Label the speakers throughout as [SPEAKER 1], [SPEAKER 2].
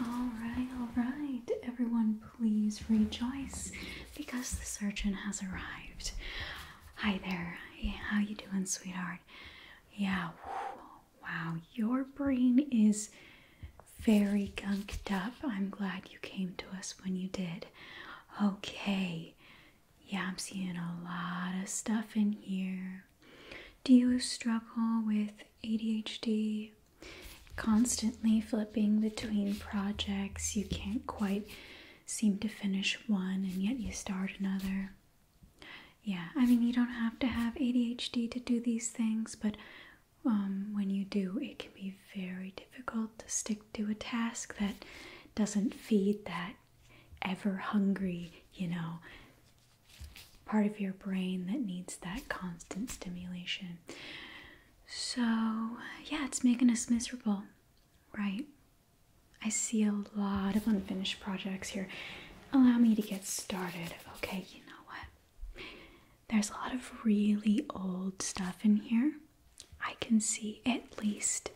[SPEAKER 1] All right, all right. Everyone, please rejoice because the surgeon has arrived. Hi there. how you doing, sweetheart? Yeah. Wow, your brain is very gunked up. I'm glad you came to us when you did. Okay. Yeah, I'm seeing a lot of stuff in here. Do you struggle with ADHD? constantly flipping between projects. You can't quite seem to finish one and yet you start another. Yeah, I mean, you don't have to have ADHD to do these things, but um, when you do, it can be very difficult to stick to a task that doesn't feed that ever hungry, you know, part of your brain that needs that constant stimulation. So, yeah, it's making us miserable, right? I see a lot of unfinished projects here. Allow me to get started, okay? You know what? There's a lot of really old stuff in here. I can see at least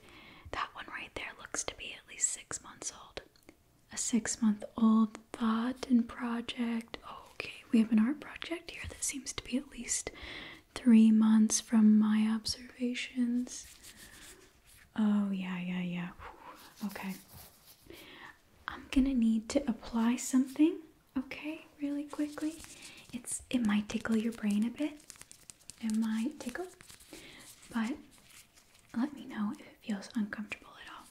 [SPEAKER 1] that one right there looks to be at least six months old a six month old thought and project. okay, we have an art project here that seems to be at least three months from my observations. Oh, yeah, yeah, yeah. Okay. I'm gonna need to apply something, okay, really quickly. It's it might tickle your brain a bit. It might tickle, but let me know if it feels uncomfortable at all.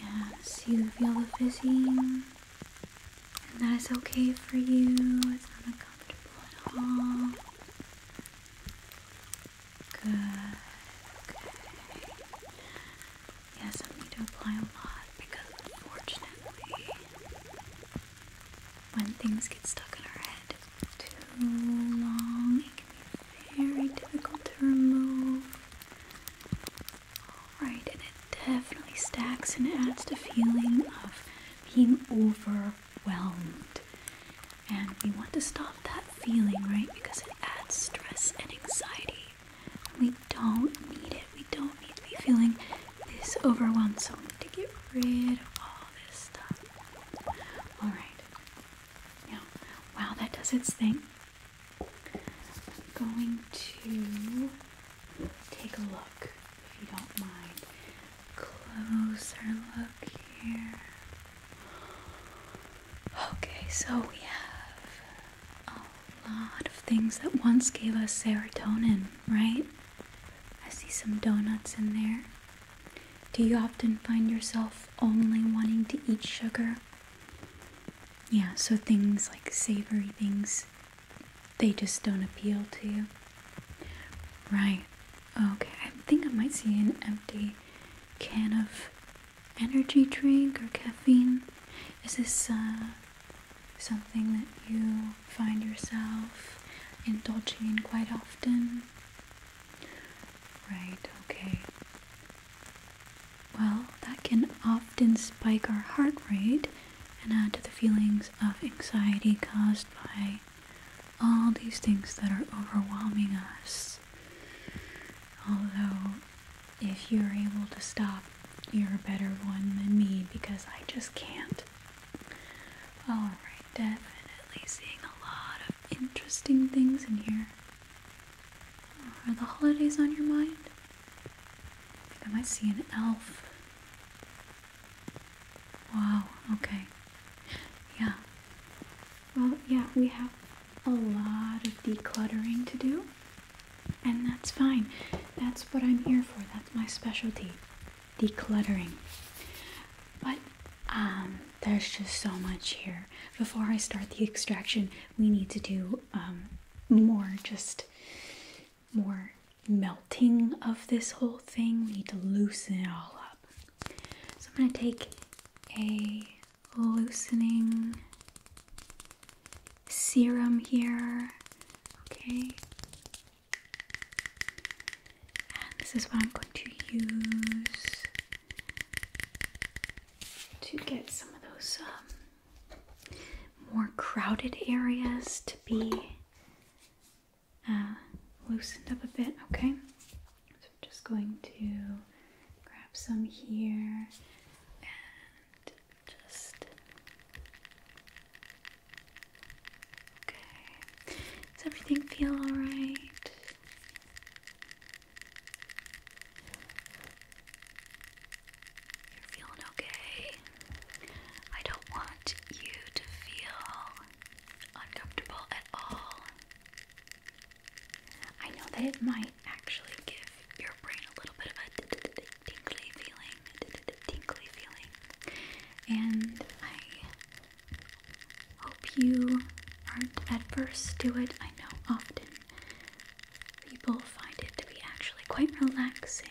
[SPEAKER 1] Yes, you feel the fizzing, and that is okay for you. It's not uncomfortable at all. Good. Yes, I need to apply a lot because, unfortunately, when things get stuck in our head too long, very difficult to remove. Alright, and it definitely stacks and adds the feeling of being overwhelmed. And we want to stop that feeling, right? Because it adds stress and anxiety. we don't need it. We don't need to be feeling this overwhelmed. So we need to get rid of all this stuff. Alright, now, while that does its thing, I'm going to take a look, if you don't mind. Closer look here. Okay, so we have a lot of things that once gave us serotonin, right? I see some donuts in there. Do you often find yourself only wanting to eat sugar. Yeah, so things like savory things, they just don't appeal to you. Right. Okay, I think I might see an empty can of energy drink or caffeine. Is this uh, something that you find yourself indulging in quite often? Right, okay. Well, that can often spike our heart rate and add to the feelings of anxiety caused by all these things that are overwhelming us. Although, if you're able to stop, you're a better one than me because I just can't. Alright, definitely seeing a lot interesting things in here. Are the holidays on your mind? I think I might see an elf. Wow, okay. Yeah. Well, yeah, we have a lot of decluttering to do, and that's fine. That's what I'm here for. That's my specialty decluttering. But um, there's just so much here. Before I start the extraction, we need to do um, more, just more melting of this whole thing. We need to loosen it all up. So I'm going to take a loosening serum here. Okay. this is what I'm going to use to get some of those um, more crowded areas to be uh, loosened up a bit, okay? So I'm just going to grab some here and just. Okay. Does everything feel alright? You're feeling okay. I don't want you to feel uncomfortable at all. I know that it might actually give your brain a little bit of a tingly feeling, tingly feeling, and I Hope you aren't adverse to it. I know often people find it to be actually quite relaxing.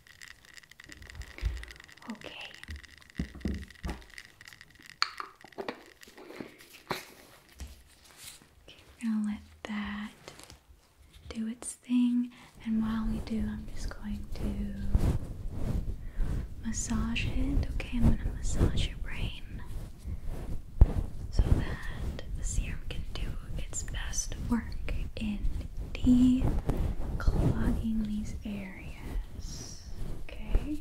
[SPEAKER 1] Okay. Okay, we're gonna let that do its thing, and while we do, I'm just going to massage it. Okay, I'm gonna massage your brain so that the serum can do its best work in de clogging these areas. Okay.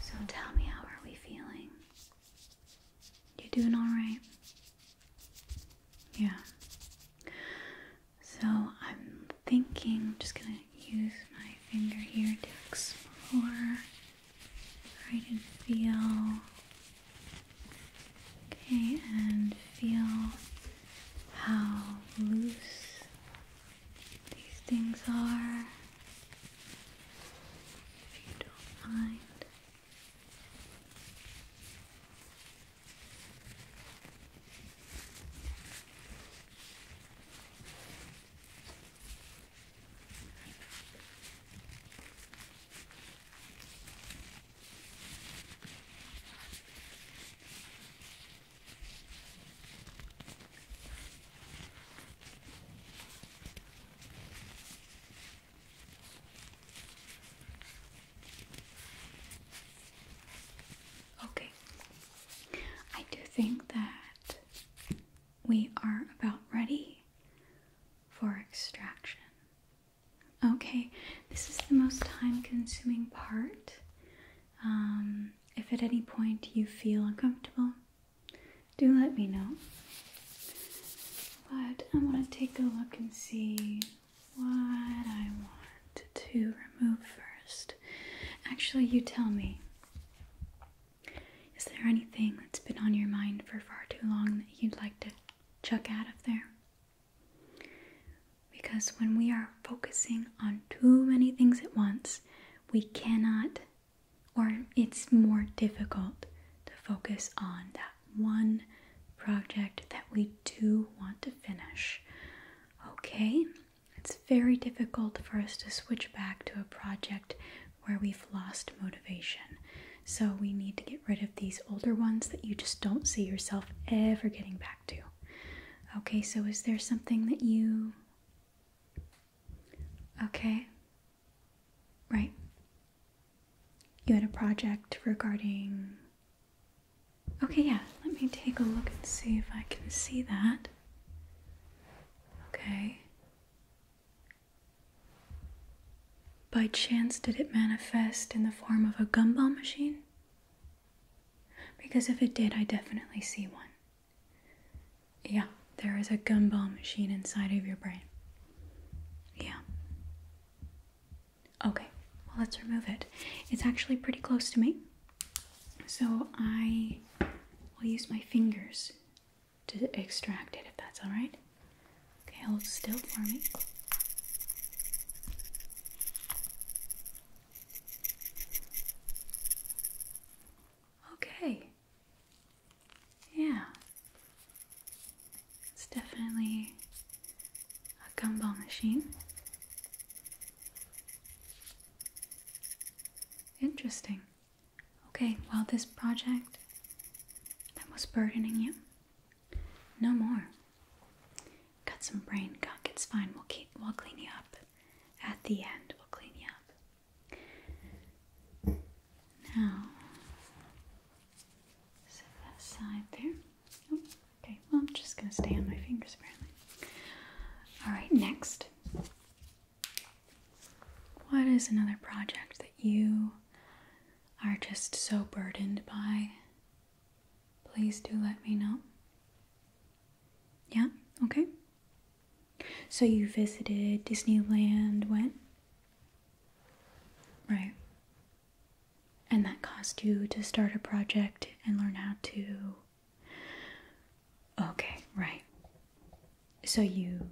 [SPEAKER 1] So tell me, how are we feeling? You doing all right? Yeah. So I'm thinking I'm just gonna use my finger here to explore Right and feel. Okay, and feel how loose these things are. If you don't mind. Okay, I do think that we are about ready for extraction. Okay, this is the most time consuming part. Um, if at any point you feel uncomfortable, do let me know. But I want to take a look and see what I want to remove first. Actually, you tell me. Is there anything that's been on your mind for far too long that you'd like to chuck out of there? Because when we are focusing on too many things at once, we cannot, or it's more difficult to focus on that one project that we do want to finish. Okay, it's very difficult for us to switch back to a project where we've lost motivation. So we need to get rid of these older ones that you just don't see yourself ever getting back to. Okay, so is there something that you. Okay. Right. You had a project regarding. Okay, yeah, let me take a look and see if I can see that. Okay. By chance, did it manifest in the form of a gumball machine? Because if it did, I definitely see one. Yeah, there is a gumball machine inside of your brain. Yeah. Okay, well, let's remove it. It's actually pretty close to me, so I will use my fingers to extract it if that's alright. Okay, hold still for me. Okay. Yeah. It's definitely a gumball machine. Interesting. Okay, well, this project that was burdening you, no more. Got some brain gunk, it's fine. We'll, keep, we'll clean you up. At the end, we'll clean you up. Now, set that aside there. Oh, okay, well, I'm just gonna stay on my fingers, apparently. All right, next. What is another project that you are just so burdened by? Please do let me know. Yeah, okay. So you visited Disneyland when? Right. And that cost you to start a project and learn how to. Okay, right so you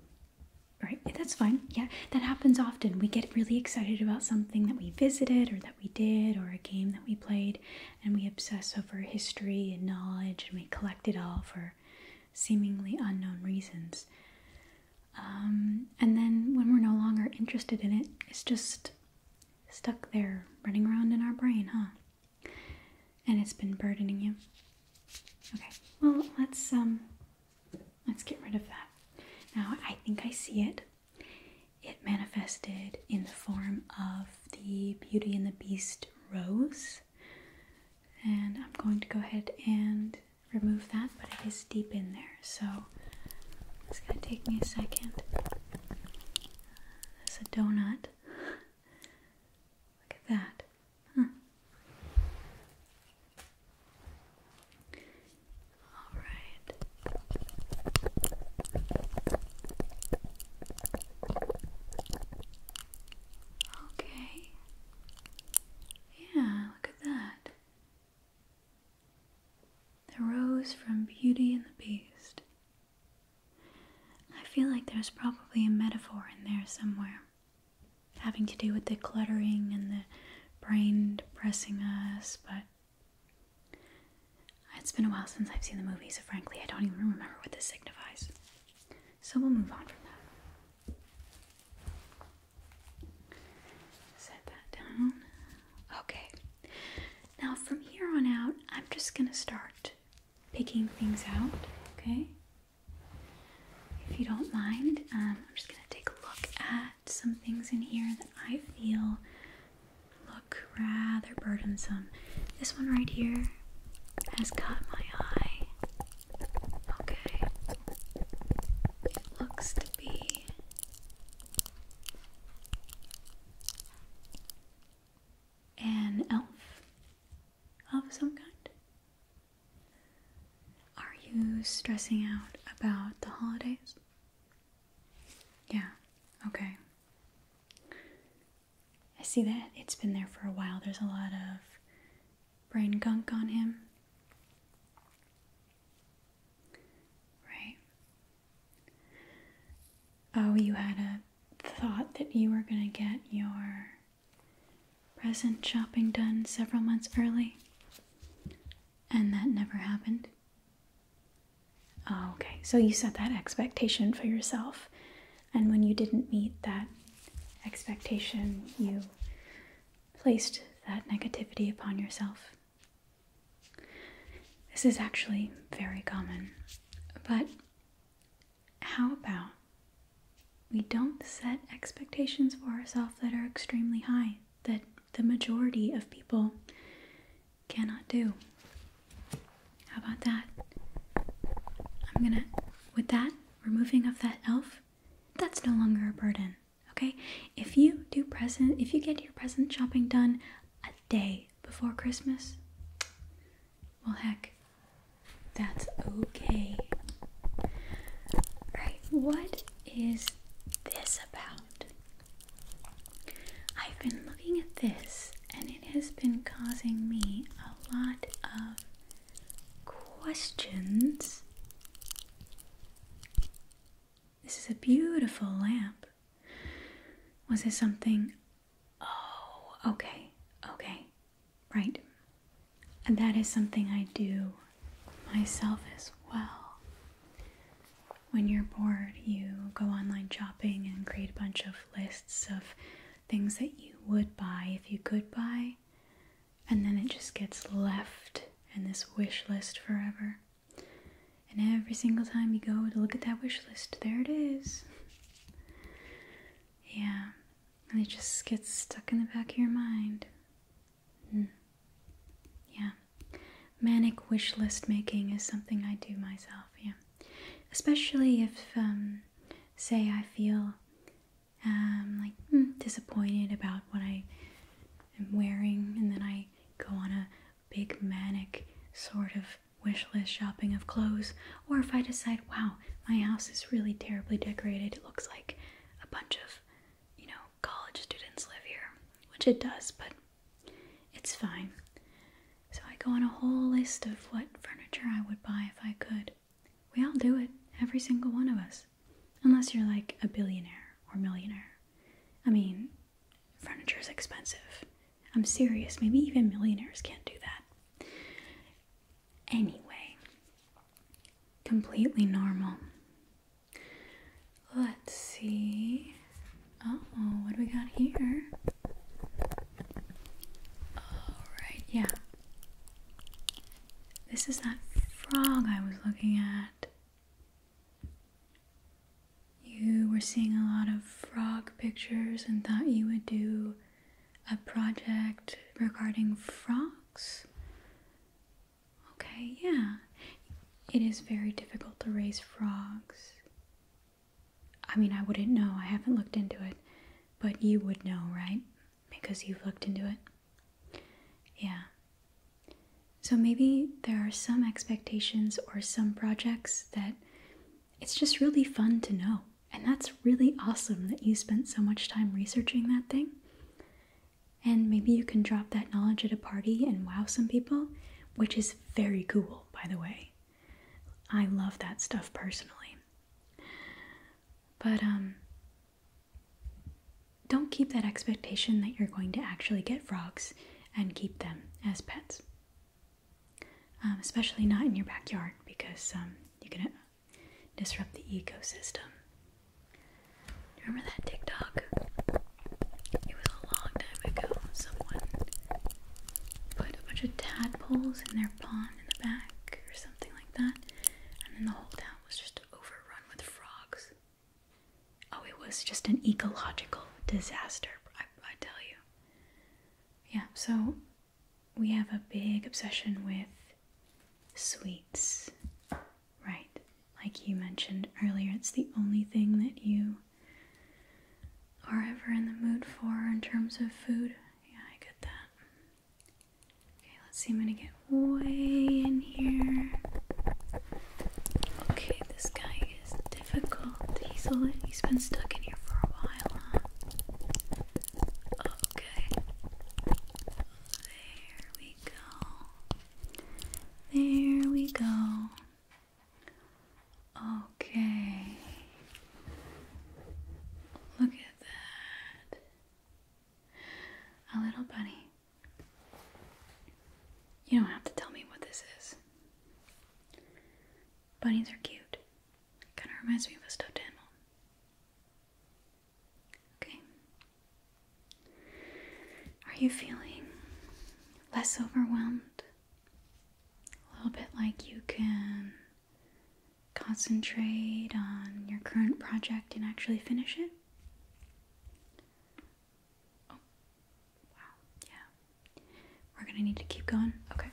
[SPEAKER 1] right eh, that's fine yeah that happens often we get really excited about something that we visited or that we did or a game that we played and we obsess over history and knowledge and we collect it all for seemingly unknown reasons um, and then when we're no longer interested in it it's just stuck there running around in our brain huh and it's been burdening you okay well let's um Let's get rid of that. Now, I think I see it. It manifested in the form of the Beauty and the Beast rose. And I'm going to go ahead and remove that, but it is deep in there. So it's going to take me a second. There's a donut. Look at that. Huh. All right. Okay. Yeah, look at that. The rose from Beauty and the Beast. I feel like there's probably a metaphor in there somewhere having to do with the cluttering and the brain depressing us, but it's been a while since I've seen the movie, so frankly, I don't even remember what this signifies. So we'll move on from that. Set that down. Okay. Now, from here on out, I'm just gonna start picking things out, okay? If you don't mind, um, I'm just going to take a look at some things in here that I feel look rather burdensome. This one right here has caught my eye. Okay. It looks to be an elf of some kind. Are you stressing out about the holidays? Yeah, okay. I see that it's been there for a while. There's a lot of brain gunk on him. Right. Oh, you had a thought that you were going to get your present shopping done several months early, and that never happened. Oh, okay, so you set that expectation for yourself, and when you didn't meet that expectation, you placed that negativity upon yourself. This is actually very common, but how about we don't set expectations for ourselves that are extremely high, that the majority of people cannot do? How about that? I'm gonna, with that removing of that elf, that's no longer a burden, okay? If you do present, if you get your present shopping done a day before Christmas, well, heck, that's okay. Right, what is this about? I've been looking at this and it has been causing me a lot of questions. This is a beautiful lamp. Was it something? Oh, okay, okay. Right. And that is something I do myself as well. When you're bored, you go online shopping and create a bunch of lists of things that you would buy if you could buy, and then it just gets left in this wish list forever. And every single time you go to look at that wish list, there it is. yeah, and it just gets stuck in the back of your mind. Hmm. Yeah. Manic wish list making is something I do myself, yeah. Especially if, um, say, I feel um, like hmm, disappointed about what I am wearing, and then I go on a big manic sort of wish list shopping of clothes or if I decide, wow, my house is really terribly decorated, it looks like a bunch of, you know, college students live here, which it does, but it's fine. So I go on a whole list of what furniture I would buy if I could. We all do it, every single one of us. Unless you're like a billionaire or millionaire. I mean, furniture is expensive. I'm serious, maybe even millionaires can't do that. Anyway, completely normal. Let's see. oh, what do we got here? Alright, yeah. This is that frog I was looking at. You were seeing a lot of frog pictures and thought you would do a project regarding frogs. Okay, yeah. It is very difficult to raise frogs. I mean, I wouldn't know. I haven't looked into it. But you would know, right? Because you've looked into it. Yeah. So maybe there are some expectations or some projects that it's just really fun to know. And that's really awesome that you spent so much time researching that thing. And maybe you can drop that knowledge at a party and wow some people, which is very cool, by the way. I love that stuff personally. But um don't keep that expectation that you're going to actually get frogs and keep them as pets. Um, especially not in your backyard because um, you can disrupt the ecosystem. Remember that TikTok? It was a long time ago. Someone put a bunch of tadpoles in their pond in the back or something like that, and then the whole town was just overrun with frogs. Oh, it was just an ecological disaster, I, I tell you. Yeah, so we have a big obsession with sweets, right? Like you mentioned earlier, it's the only thing that you are ever in the mood for in terms of food. Yeah, I get that. Okay, let's see. I'm gonna get way in here. Okay, this guy is difficult. He's, he's been stuck in here for a while, huh? Okay. There we go. There we go. Okay. Look at that. A little bunny. You don't have to tell me what this is. Bunnies are cute. Kind of reminds me of a stuffed animal. Okay. Are you feeling less overwhelmed? A little bit like you can concentrate on your current project and actually finish it? Oh, wow, yeah. We're gonna need to keep going. Okay.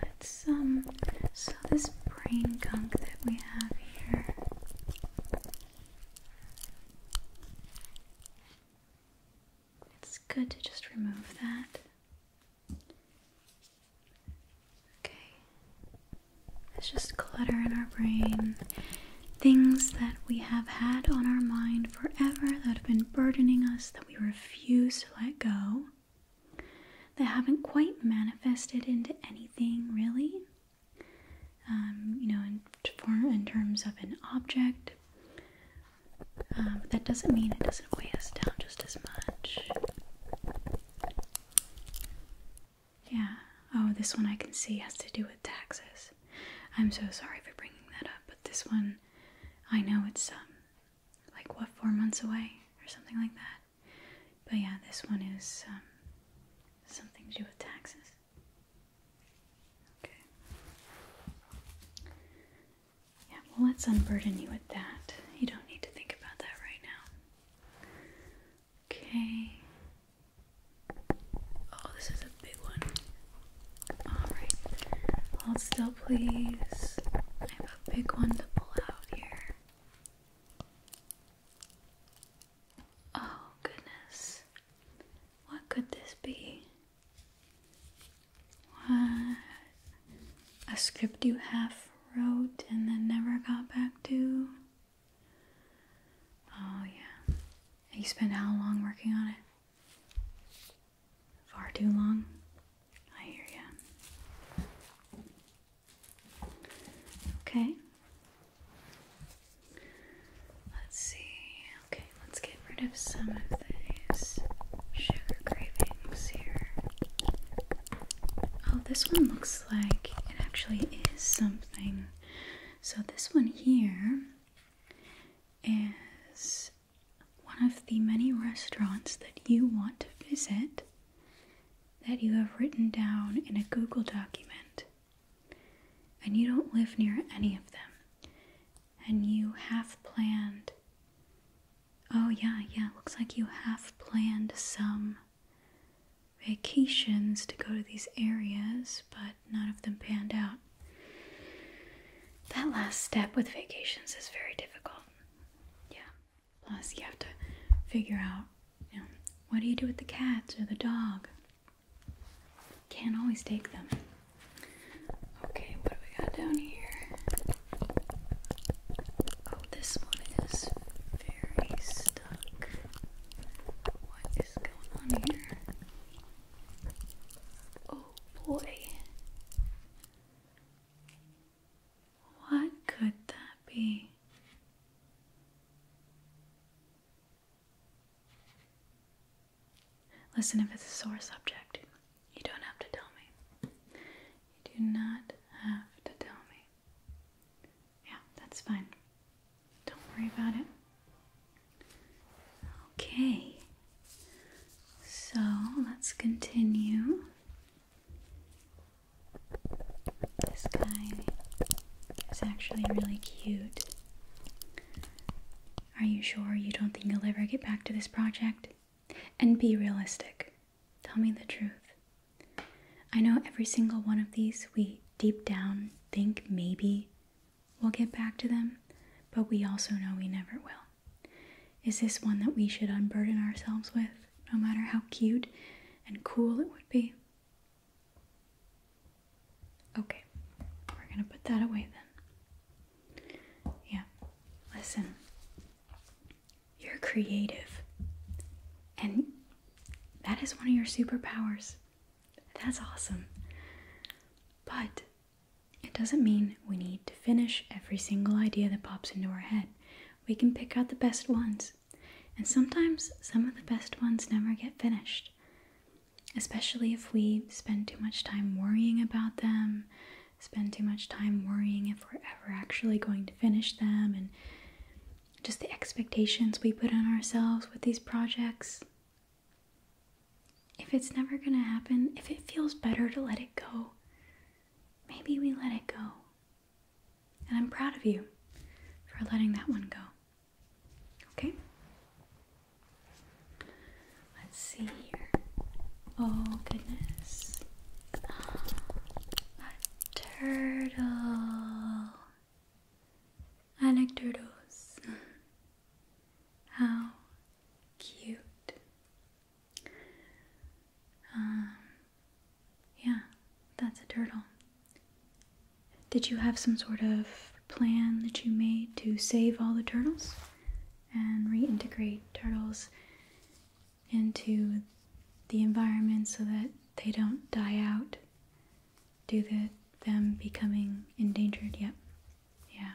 [SPEAKER 1] Let's um so this brain gunk that we have here it's good to just remove that. Okay. It's just clutter in our brain. Things that we have had on our mind forever that have been burdening us that we refuse to let go. They haven't quite manifested into anything really. Um, you know, in, terms of an object. Um, that doesn't mean it doesn't weigh us down just as much. Yeah. Oh, this one I can see has to do with taxes. I'm so sorry for bringing that up, but this one, I know it's um, like what four months away or something like that. But yeah, this one is um, something to do with taxes. Okay. Yeah, well, let's unburden you with that. You don't need to think about that right now. Okay. Oh, this is a big one. Alright. Hold still, please a big one to pull out here. Oh, goodness. What could this be? What? A script you half wrote and then never got back to? Oh, yeah. You spent how long working on it? Far too long? I hear ya. Okay. Let's see. Okay, let's get rid of some of these sugar cravings here. Oh, this one looks like it actually is something. So, this one here is one of the many restaurants that you want to visit that you have written down in a Google document, and you don't live near any of them, and you have planned. Oh, yeah, yeah, looks like you have planned some vacations to go to these areas, but none of them panned out. That last step with vacations is very difficult. Yeah. Plus, you have to figure out, you know, what do you do with the cats or the dog? Can't always take them. Okay, what do we got down here? Oh, this one is very stuck. What is going on here? Oh boy. What could that be? Listen, if it's a sore subject, you don't have to tell me. You do not have to tell me. Yeah, that's fine. Don't worry about it. Okay. So let's continue. This guy is actually really cute. Are you sure you don't think you'll ever get back to this project? And be realistic. Tell me the truth. I know every single one of these we deep down think maybe we'll get back to them, but we also know we never will. Is this one that we should unburden ourselves with, no matter how cute and cool it would be? Okay, we're gonna put that away then. Yeah, listen, you're creative, and that is one of your superpowers. That's awesome. But it doesn't mean we need to finish every single idea that pops into our head. We can pick out the best ones. And sometimes some of the best ones never get finished, especially if we spend too much time worrying about them, spend too much time worrying if we're ever actually going to finish them, and just the expectations we put on ourselves with these projects. If it's never going to happen, if it feels better to let it go, maybe we let it go. And I'm proud of you for letting that one go. Okay? Let's see here. Oh, goodness. A turtle. I like turtles. How cute. Um, yeah, that's a turtle. Did you have some sort of plan that you made to save all the turtles and reintegrate turtles into the environment so that they don't die out Do to them becoming endangered? Yep. Yeah.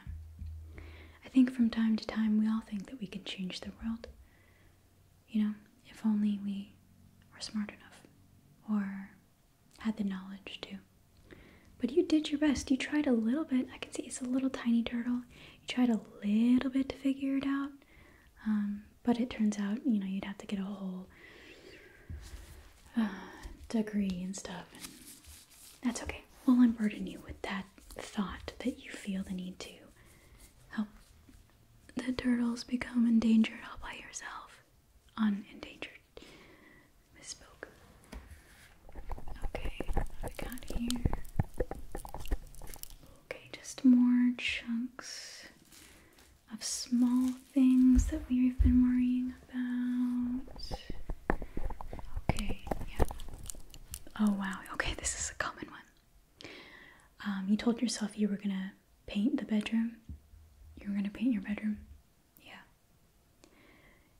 [SPEAKER 1] I think from time to time we all think that we can change the world. You know, if only we were smart enough or had the knowledge to. But you did your best. You tried a little bit. I can see it's a little tiny turtle. You tried a little bit to figure it out. Um, but it turns out, you know, you'd have to get a whole uh, degree and stuff. That's okay. We'll unburden you with that thought that you feel the need to help the turtles become endangered all by yourself. Unendangered. Misspoke. Okay, what got here? Okay, just more chunks of small things that we've been worrying about. Okay, yeah. Oh wow, okay, this is a common one. Um, you told yourself you were gonna paint the bedroom. You were gonna paint your bedroom. Yeah.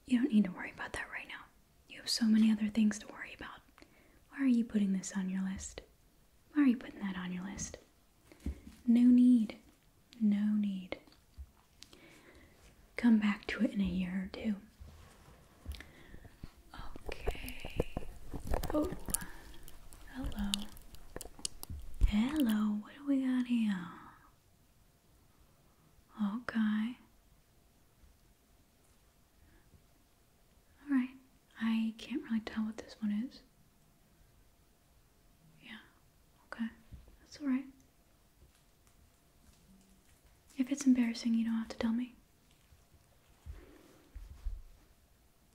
[SPEAKER 1] You don't need to worry about that right now. You have so many other things to worry about. Why are you putting this on your list? Why are you putting that on your list? No need. No need. Come back to it in a year or two. Okay. Oh, hello. Hello, what do we got here? Okay. Alright, I can't really tell what this one is. Yeah, okay, that's alright. If it's embarrassing, you don't have to tell me.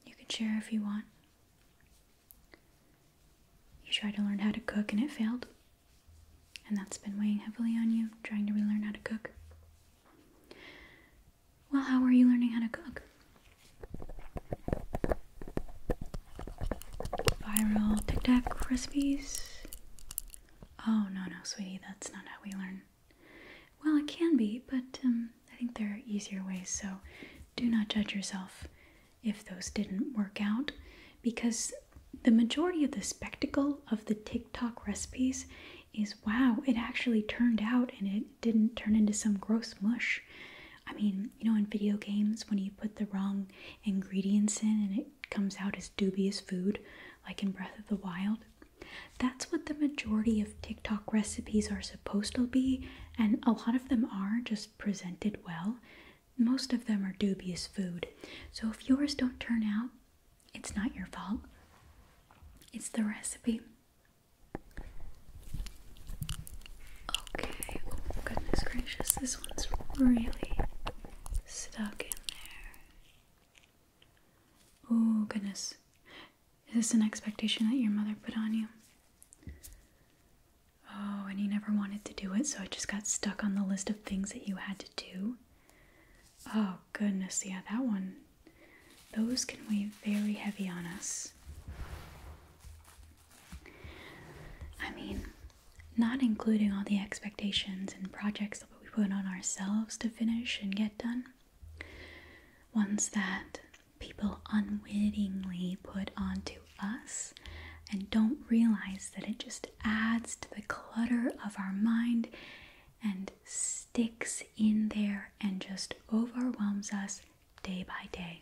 [SPEAKER 1] You can share if you want. You tried to learn how to cook and it failed. And that's been weighing heavily on you, trying to relearn how to cook. Well, how are you learning how to cook? Viral tic tac recipes? Oh, no, no, sweetie, that's not how we learn well, it can be, but um, I think there are easier ways, so do not judge yourself if those didn't work out because the majority of the spectacle of the TikTok recipes is wow, it actually turned out and it didn't turn into some gross mush. I mean, you know, in video games, when you put the wrong ingredients in and it comes out as dubious food, like in Breath of the Wild. That's what the majority of TikTok recipes are supposed to be, and a lot of them are just presented well. Most of them are dubious food. So if yours don't turn out, it's not your fault. It's the recipe. Okay, oh goodness gracious, this one's really stuck in there. Oh, goodness. Is this an expectation that your mother put on you? Oh, and you never wanted to do it, so I just got stuck on the list of things that you had to do. Oh, goodness. Yeah, that one. Those can weigh very heavy on us. I mean, not including all the expectations and projects we put on ourselves to finish and get done, ones that people unwittingly put onto us and don't realize that it just adds to the clutter of our mind and sticks in there and just overwhelms us day by day.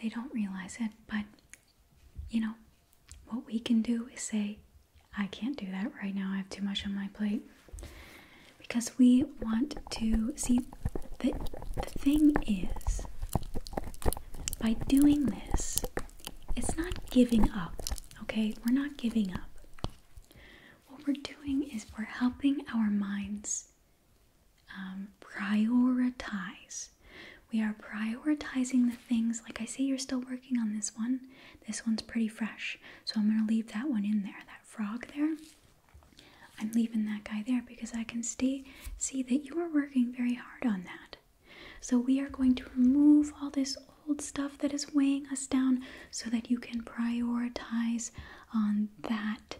[SPEAKER 1] They don't realize it, but you know, what we can do is say, I can't do that right now, I have too much on my plate. Because we want to see that the thing is, by doing this, it's not giving up, okay? We're not giving up. What we're doing is we're helping our minds um, prioritize. We are prioritizing the things, like I say, you're still working on this one, this one's pretty fresh, so I'm gonna leave that one in there, that frog there. I'm leaving that guy there because I can see see that you are working very hard on that. So we are going to remove all this old stuff that is weighing us down so that you can prioritize on that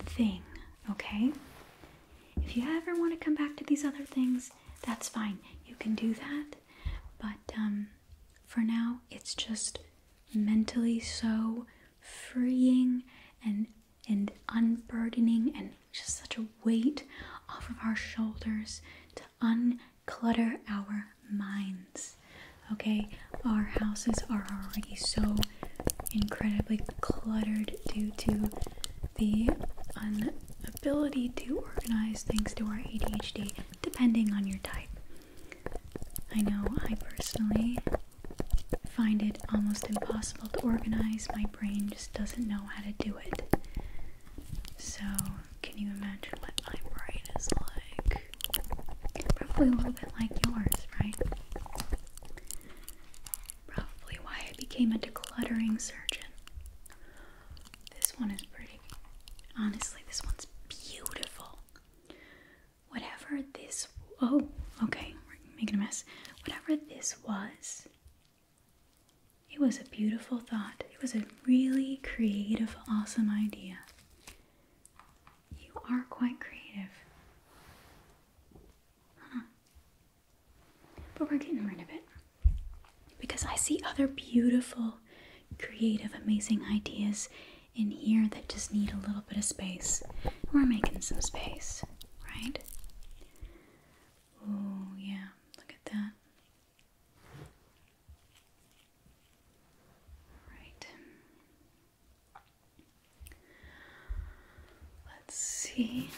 [SPEAKER 1] thing, okay? If you ever want to come back to these other things, that's fine. You can do that. But um, for now, it's just mentally so freeing and and unburdening and just such a weight off of our shoulders to unclutter our minds. Okay, our houses are already so incredibly cluttered due to the un ability to organize things to our ADHD depending on your type. I know I personally find it almost impossible to organize. My brain just doesn't know how to do it. So, can you imagine what my brain is like? Probably a little bit like yours, right? Probably why I became a decluttering surgeon. This one is pretty. Honestly, this one's beautiful. Whatever this. Oh, okay. making a mess. Whatever this was, it was a beautiful thought. It was a really creative, awesome idea. You are quite creative. But we're getting rid of it because I see other beautiful, creative, amazing ideas in here that just need a little bit of space. We're making some space, right? Oh, yeah, look at that. Right. Let's see.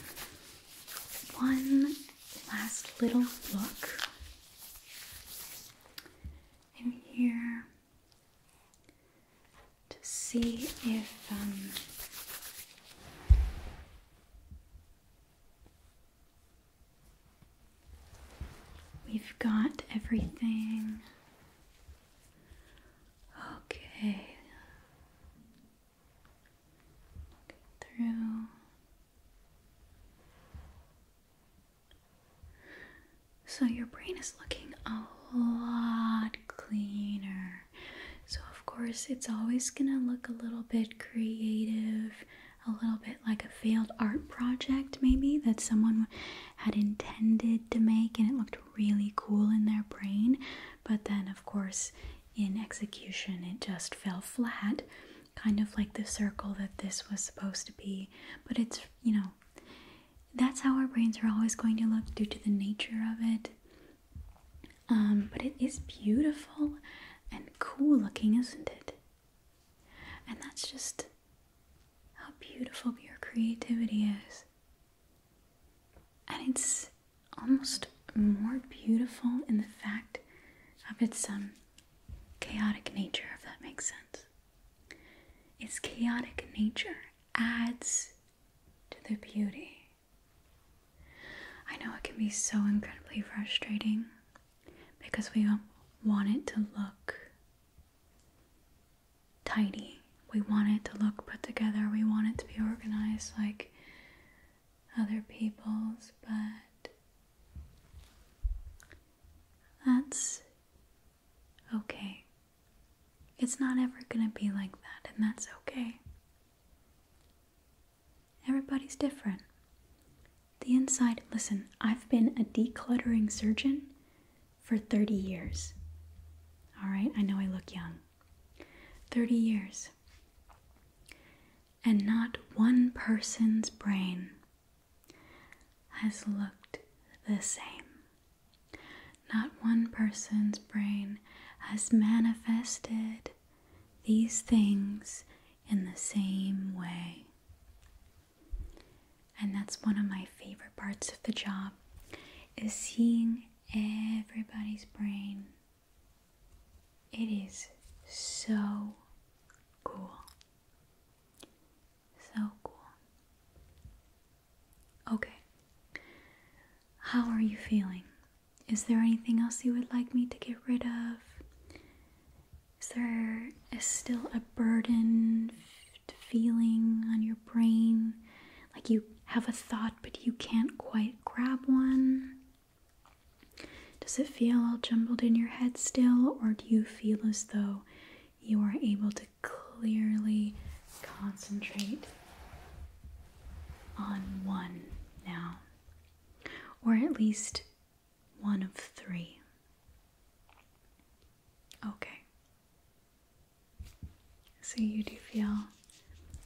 [SPEAKER 1] One last little look in here to see if um, we've got everything. Okay. So, your brain is looking a lot cleaner. So, of course, it's always going to look a little bit creative, a little bit like a failed art project, maybe that someone had intended to make and it looked really cool in their brain. But then, of course, in execution it just fell flat, kind of like the circle that this was supposed to be. But it's, you know, that's how our brains are always going to look due to the nature of it. Um, but it is beautiful and cool looking, isn't it? And that's just how beautiful your creativity is. And it's almost more beautiful in the fact of its um, chaotic nature, if that makes sense. Its chaotic nature adds to the beauty. I know it can be so incredibly frustrating because we want it to look tidy. We want it to look put together. We want it to be organized. Like, other people's, but that's okay. It's not ever gonna be like that, and that's okay. Everybody's different. The inside, listen, I've been a decluttering surgeon for 30 years. All right, I know I look young. 30 years and not one person's brain has looked the same. Not one person's brain has manifested these things in the same way. And that's one of my favorite parts of the job is seeing everybody's brain it is so cool. So cool. Okay. How are you feeling? Is there anything else you would like me to get rid of? Is there is still a burden feeling on your brain? Like you have a thought, but you can't quite grab one? Does it feel all jumbled in your head still, or do you feel as though you are able to clearly concentrate on one now? Or at least one of three. Okay. So you do feel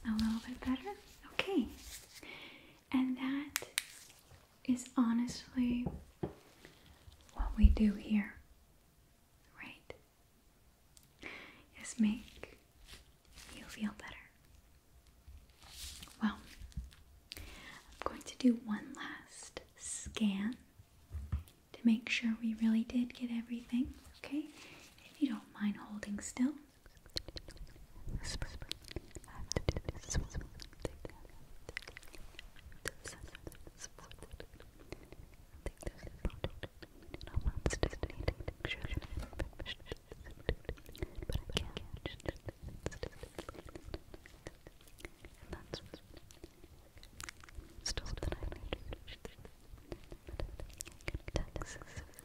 [SPEAKER 1] a little bit better? Okay. And that is honestly what we do here, right? Is make you feel better. Well, I'm going to do one last scan to make sure we really did get everything, okay? If you don't mind holding still, Whisper. I have to do this. Whisper. Take that. This. Support it. Take this. No one's listening. But I can't. And that's still that I need. But I can't. That is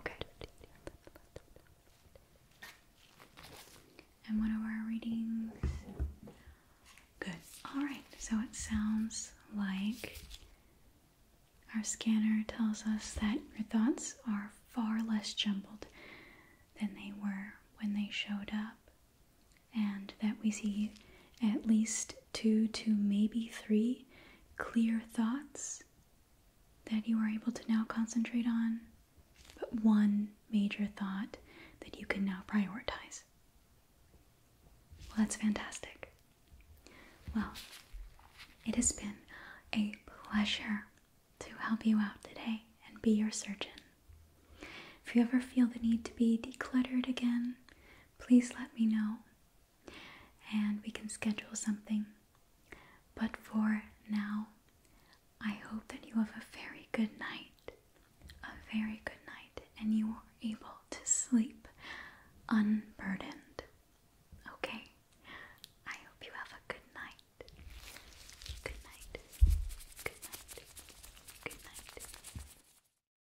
[SPEAKER 1] okay. And what are our readings? Good. Alright, so it sounds like our scanner tells us that your thoughts are far less jumbled than they were when they showed up, and that we see at least two to maybe three clear thoughts that you are able to now concentrate on, but one major thought that you can now prioritize. Well, that's fantastic. Well, it has been a pleasure to help you out today and be your surgeon. If you ever feel the need to be decluttered again, please let me know and we can schedule something. But for now, I hope that you have a very good night, a very good night, and you are able to sleep unburdened. Okay? I hope you have a good night. Good night. Good night. Good night.